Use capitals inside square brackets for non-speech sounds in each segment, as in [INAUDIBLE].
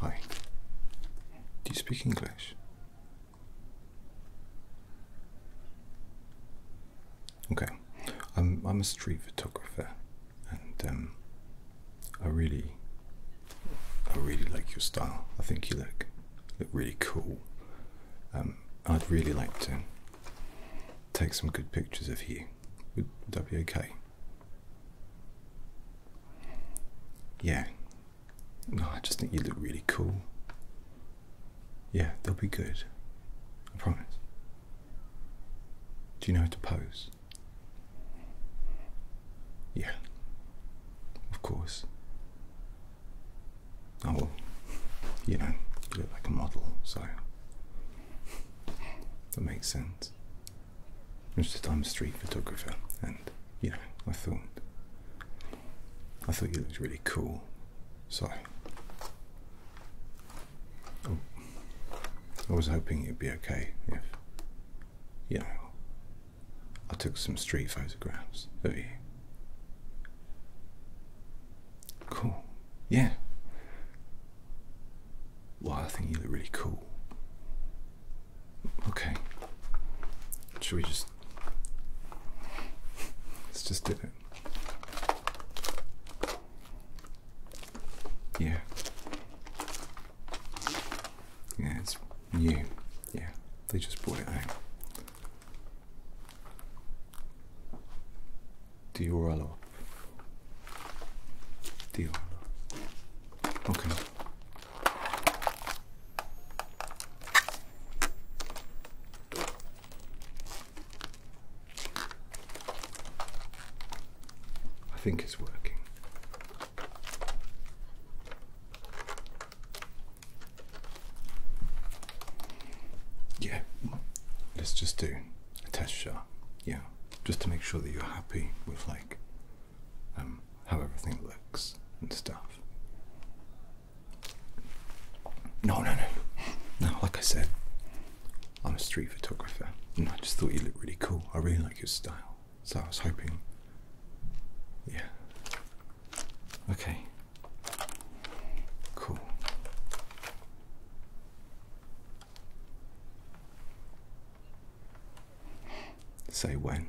Hi. Do you speak English? Okay, I'm I'm a street photographer, and um, I really, I really like your style. I think you look look really cool. Um, I'd really like to take some good pictures of you. Would, would that be okay? Yeah. No, I just think you look really cool. Yeah, they'll be good. I promise. Do you know how to pose? Yeah, of course. I oh, will. you know, you look like a model, so that makes sense. It's just I'm a street photographer, and you know, I thought I thought you looked really cool, so Oh. I was hoping it'd be okay if, you know, I took some street photographs of you. Cool. Yeah. Well, I think you look really cool. Okay. Should we just. Let's just do it. Yeah. Yeah, it's new. Yeah, they just brought it out. Eh? Dioralo. Dioralo. Okay. I think it's working. Yeah, let's just do a test shot. Yeah, just to make sure that you're happy with like um, how everything looks and stuff. No, no, no. No, like I said, I'm a street photographer and I just thought you looked really cool. I really like your style. So I was hoping. Yeah. Okay. Cool. Say when.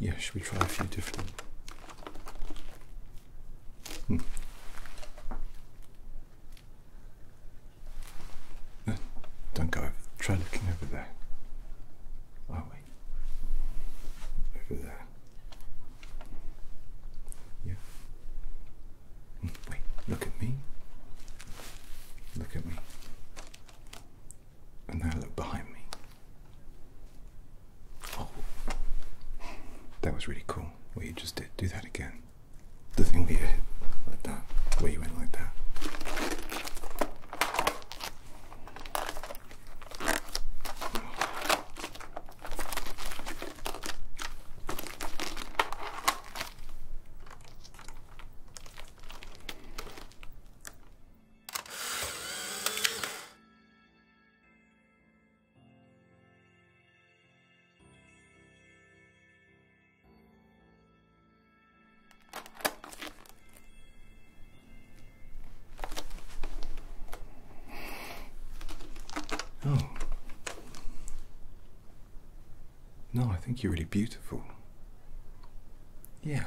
Yeah, should we try a few different? Hmm. don't go over. Try looking over there. Oh wait, over there. Yeah. Hmm, wait. Look at me. Look at me. And now look behind me. Oh. that was really cool. What you just did. Do that again. The thing where you hit like that, where you went like that. Oh. No, I think you're really beautiful. Yeah.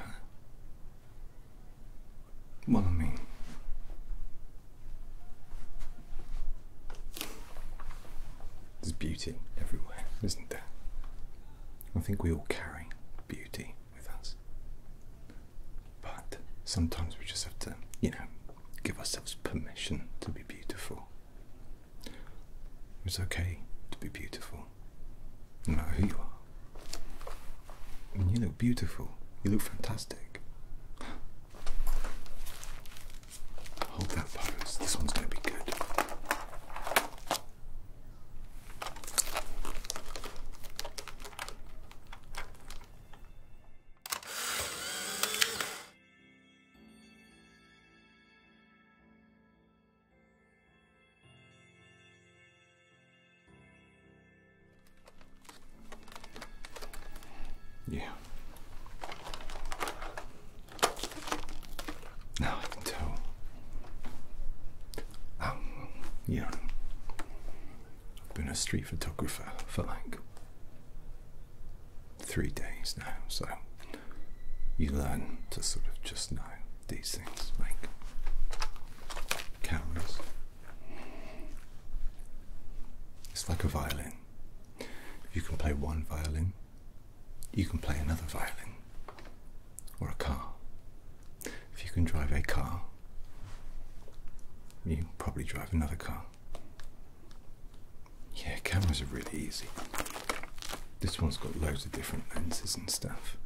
Well, I mean, There's beauty everywhere, isn't there? I think we all carry beauty with us. But sometimes we just have to, you know, give ourselves permission to be beautiful. It's okay to be beautiful no matter who you are. I mean, you look beautiful. You look fantastic. Hold that pose. This one's going to be good. Yeah. Now I can tell. Um, yeah. I've been a street photographer for like three days now, so you learn to sort of just know these things like cameras. It's like a violin. If You can play one violin, you can play another violin, or a car. If you can drive a car, you probably drive another car. Yeah, cameras are really easy. This one's got loads of different lenses and stuff.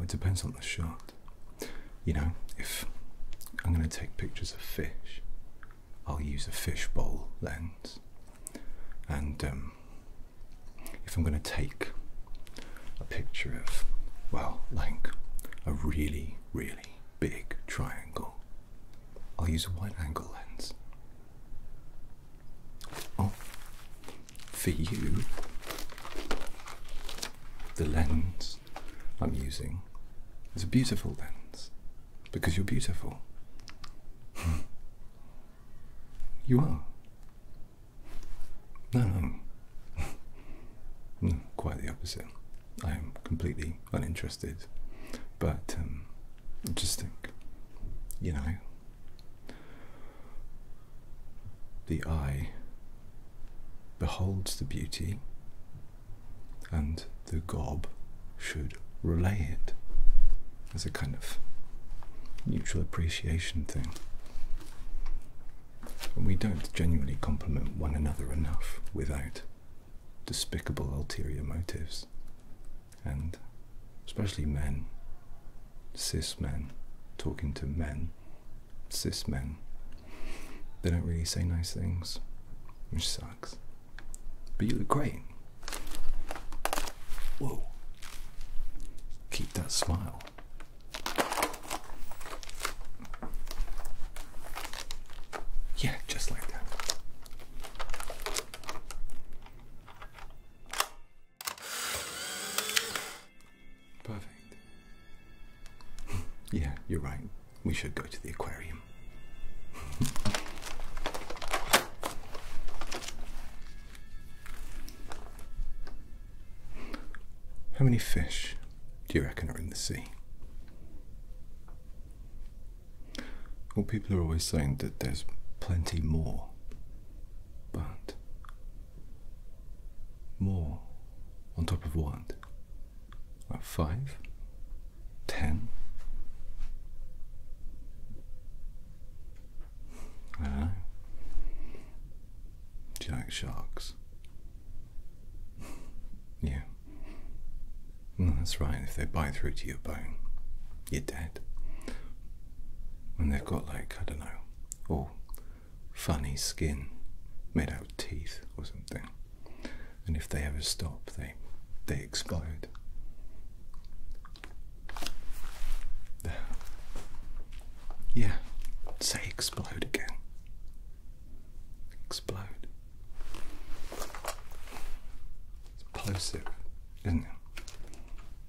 it depends on the shot. You know, if I'm going to take pictures of fish, I'll use a fishbowl lens. And um, if I'm going to take a picture of, well, like a really, really big triangle, I'll use a wide angle lens. Oh, for you, the lens I'm using is a beautiful lens because you're beautiful. Hmm. you are. No, [LAUGHS] no. quite the opposite. I am completely uninterested, but um, just think, you know, the eye beholds the beauty and the gob should relay it as a kind of mutual appreciation thing. And we don't genuinely compliment one another enough without despicable ulterior motives and especially men, cis men, talking to men, cis men, they don't really say nice things, which sucks. But you look great. Whoa. Keep that smile. Yeah, just like that. Perfect. [LAUGHS] yeah, you're right. We should go to the aquarium. [LAUGHS] How many fish do you reckon are in the sea? Well, people are always saying that there's plenty more more, but more on top of one. five, ten. I do you like sharks? yeah. that's right. If they bite through to your bone, you're dead. And they've got like, I don't know, all funny skin made out of teeth or something. And if they ever stop, they they explode. [SIGHS] Yeah, say explode again. Explode. Explosive isn't it?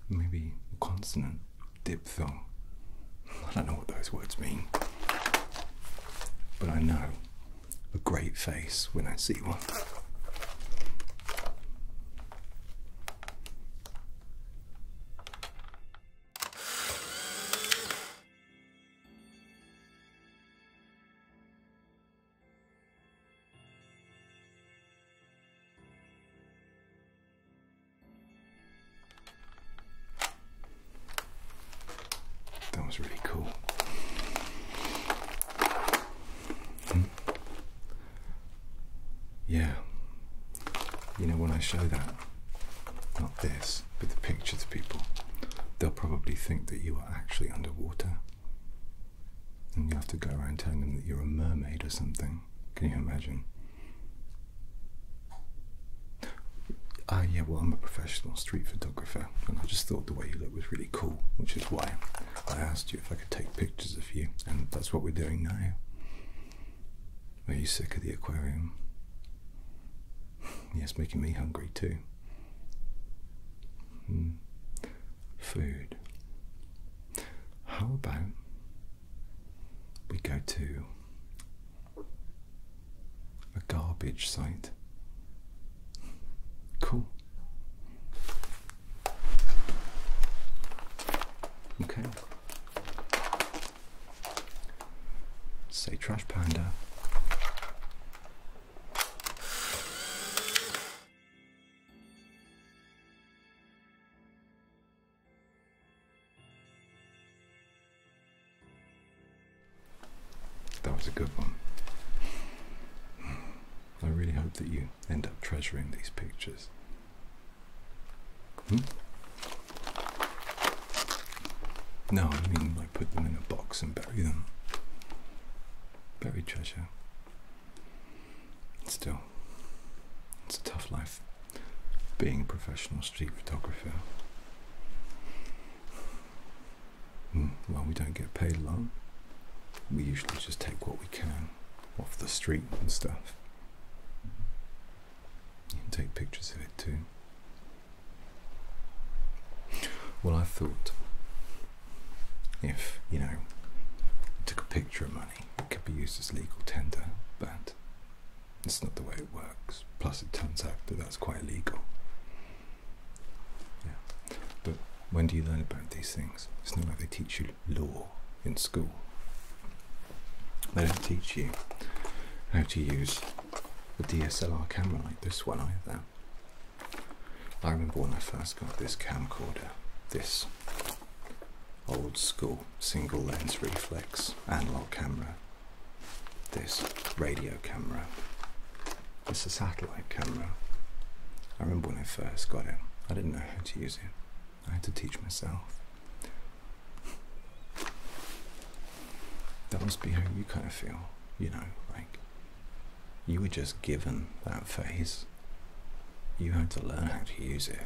Maybe a consonant diphthong. I don't know what those words mean, but I know a great face when I see one. That was really cool. Hmm. Yeah. You know, when I show that, not this, but the pictures of people, they'll probably think that you are actually underwater. And you have to go around telling them that you're a mermaid or something. Can you imagine? Ah, yeah, well, I'm a professional street photographer, and I just thought the way you look was really cool, which is why I asked you if I could take pictures of you, and that's what we're doing now. Are you sick of the aquarium? [LAUGHS] Yes, making me hungry too. Hmm food. How about we go to a garbage site? Cool. Okay. Say Trash Panda. That was a good one. Hmm. I really hope that you end up treasuring these pictures. Hmm? No, I mean I put them in a box and bury them. Bury treasure. Still, it's a tough life being a professional street photographer. Hmm, well, we don't get paid a lot. We usually just take what we can off the street and stuff. You can take pictures of it too. Well, I thought if, you know, you took a picture of money, it could be used as legal tender, but it's not the way it works. Plus, it turns out that that's quite illegal. Yeah. But when do you learn about these things? It's not like they teach you law in school. They don't teach you how to use a DSLR camera like this one either. I remember when I first got this camcorder, this old school single lens reflex analog camera, this radio camera, This satellite camera. I remember when I first got it, I didn't know how to use it. I had to teach myself. That must be how you kind of feel, you know, like you were just given that face. You had to learn how to use it.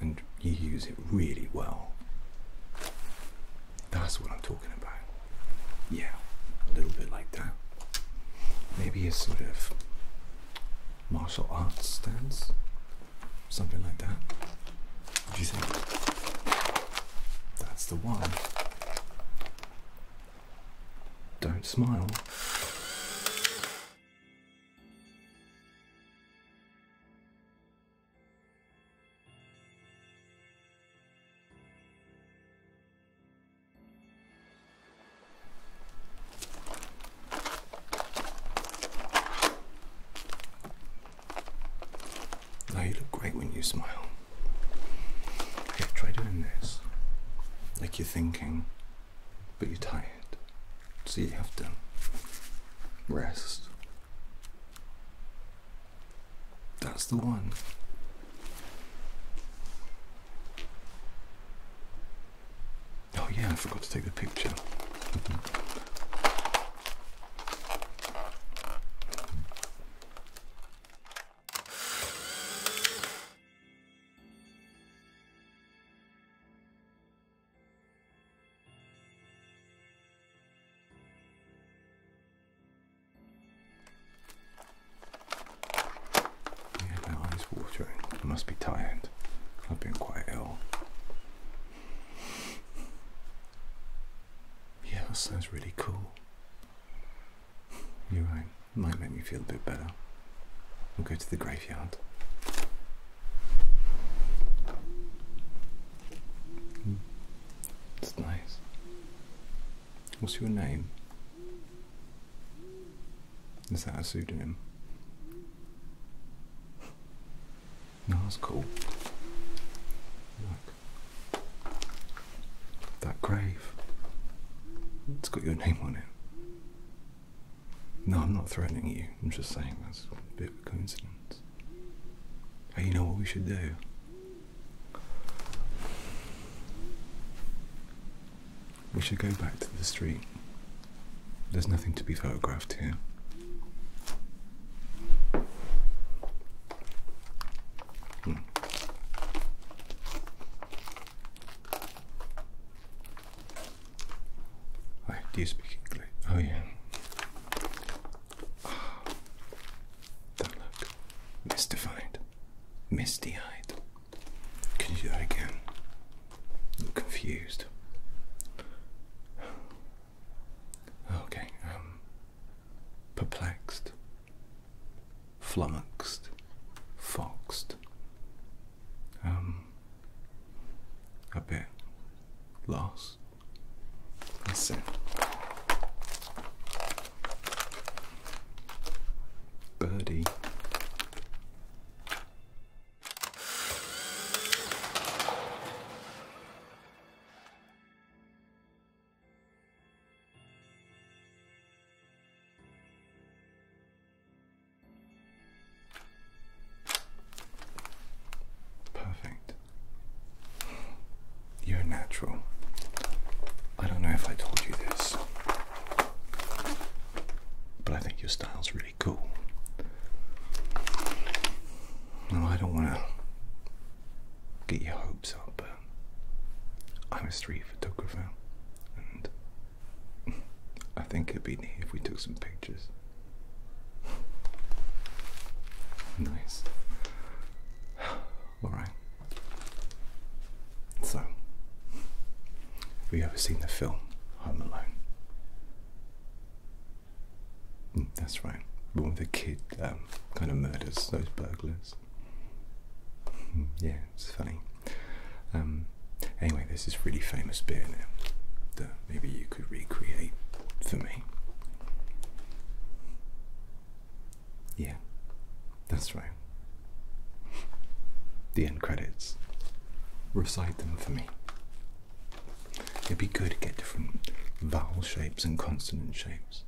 And you use it really well. That's what I'm talking about. Yeah, a little bit like that. Maybe a sort of martial arts stance. Something like that. What do you think? That's the one. Don't smile. No, you look great when you smile try doing this. Like you're thinking, but you're tired. So you have to rest. That's the one. Oh, yeah, I forgot to take the picture. Yeah, my eyes watering. I must be tired. I've been quite ill. Yeah, that sounds really cool. You're right might make me feel a bit better. We'll go to the graveyard. Mm. nice. What's your name? Is that a pseudonym? [LAUGHS] that's cool. That grave. It's got your name on it. No, I'm not threatening you. I'm just saying that's a bit of a coincidence. Hey, you know what we should do? We should go back to the street. There's nothing to be photographed here. Hmm. Wait, do you speak English? Oh yeah. Oh, look. Mystified. Misty-eyed. Can you do that again? confused. Oh, okay, um perplexed flummoxed, foxed, um, a bit lost. Listen, Birdie. Perfect. You're natural. I don't know if I told you this, but I think your style's really cool. No, I don't want to get your hopes up, I'm a street photographer, and [LAUGHS] I think it'd be neat if we took some pictures. [SIGHS] nice. [SIGHS] Alright. So, have you ever seen the film Home Alone? Mm, that's right. The the kid um, kind of murders those burglars yeah, it's funny. Um, anyway, there's this really famous beer now that maybe you could recreate for me. Yeah, that's right. The end credits. Recite them for me. It'd be good to get different vowel shapes and consonant shapes.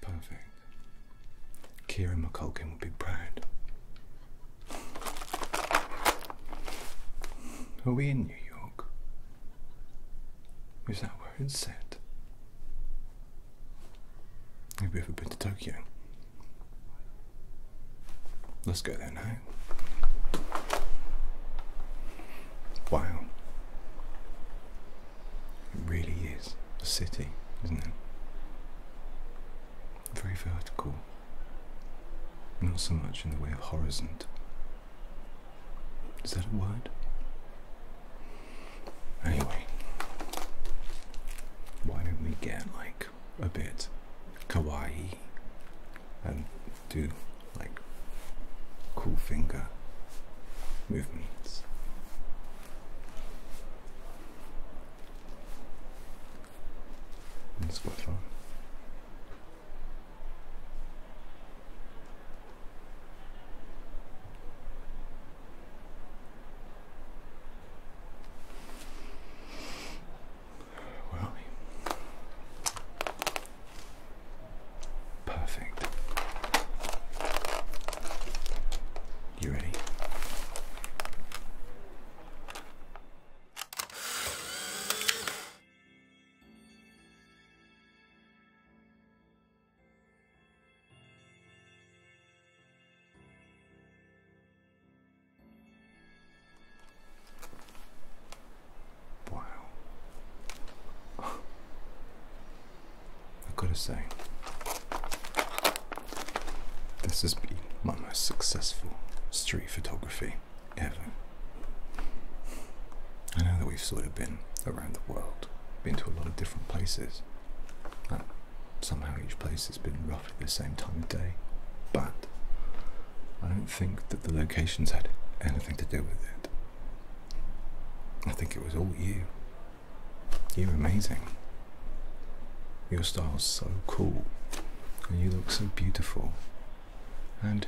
Perfect. Kira McCulkin would be proud. Are we in New York? Is that where it's set? Have you ever been to Tokyo? Let's go there now. Wow. It really is a city, isn't it? Very vertical, not so much in the way of horizon. Is that a word? Anyway, why don't we get like a bit kawaii and do like cool finger movements? and Squiffer. Where are we? Perfect. You ready? Wow. [LAUGHS] I gotta say, this has been my most successful street photography ever. I know that we've sort of been around the world, been to a lot of different places, but somehow each place has been roughly the same time of day. But I don't think that the locations had anything to do with it. I think it was all you. You're amazing. Your style's so cool, and you look so beautiful, and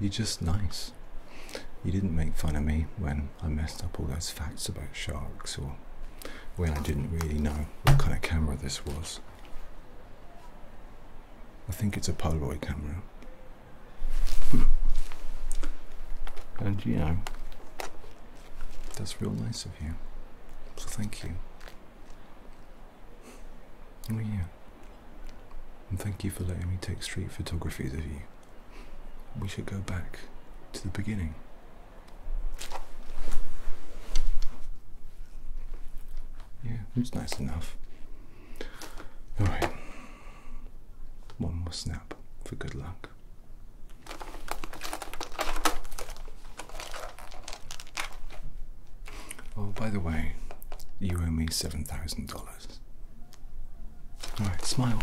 you're just nice. You didn't make fun of me when I messed up all those facts about sharks, or when I didn't really know what kind of camera this was. I think it's a Polaroid camera. and you know, that's real nice of you. So thank you. Oh yeah. And thank you for letting me take street photographs of you. We should go back to the beginning. Yeah, it's nice enough. Alright. One more snap for good luck. Oh, by the way, you owe me seven thousand dollars. All right, smile.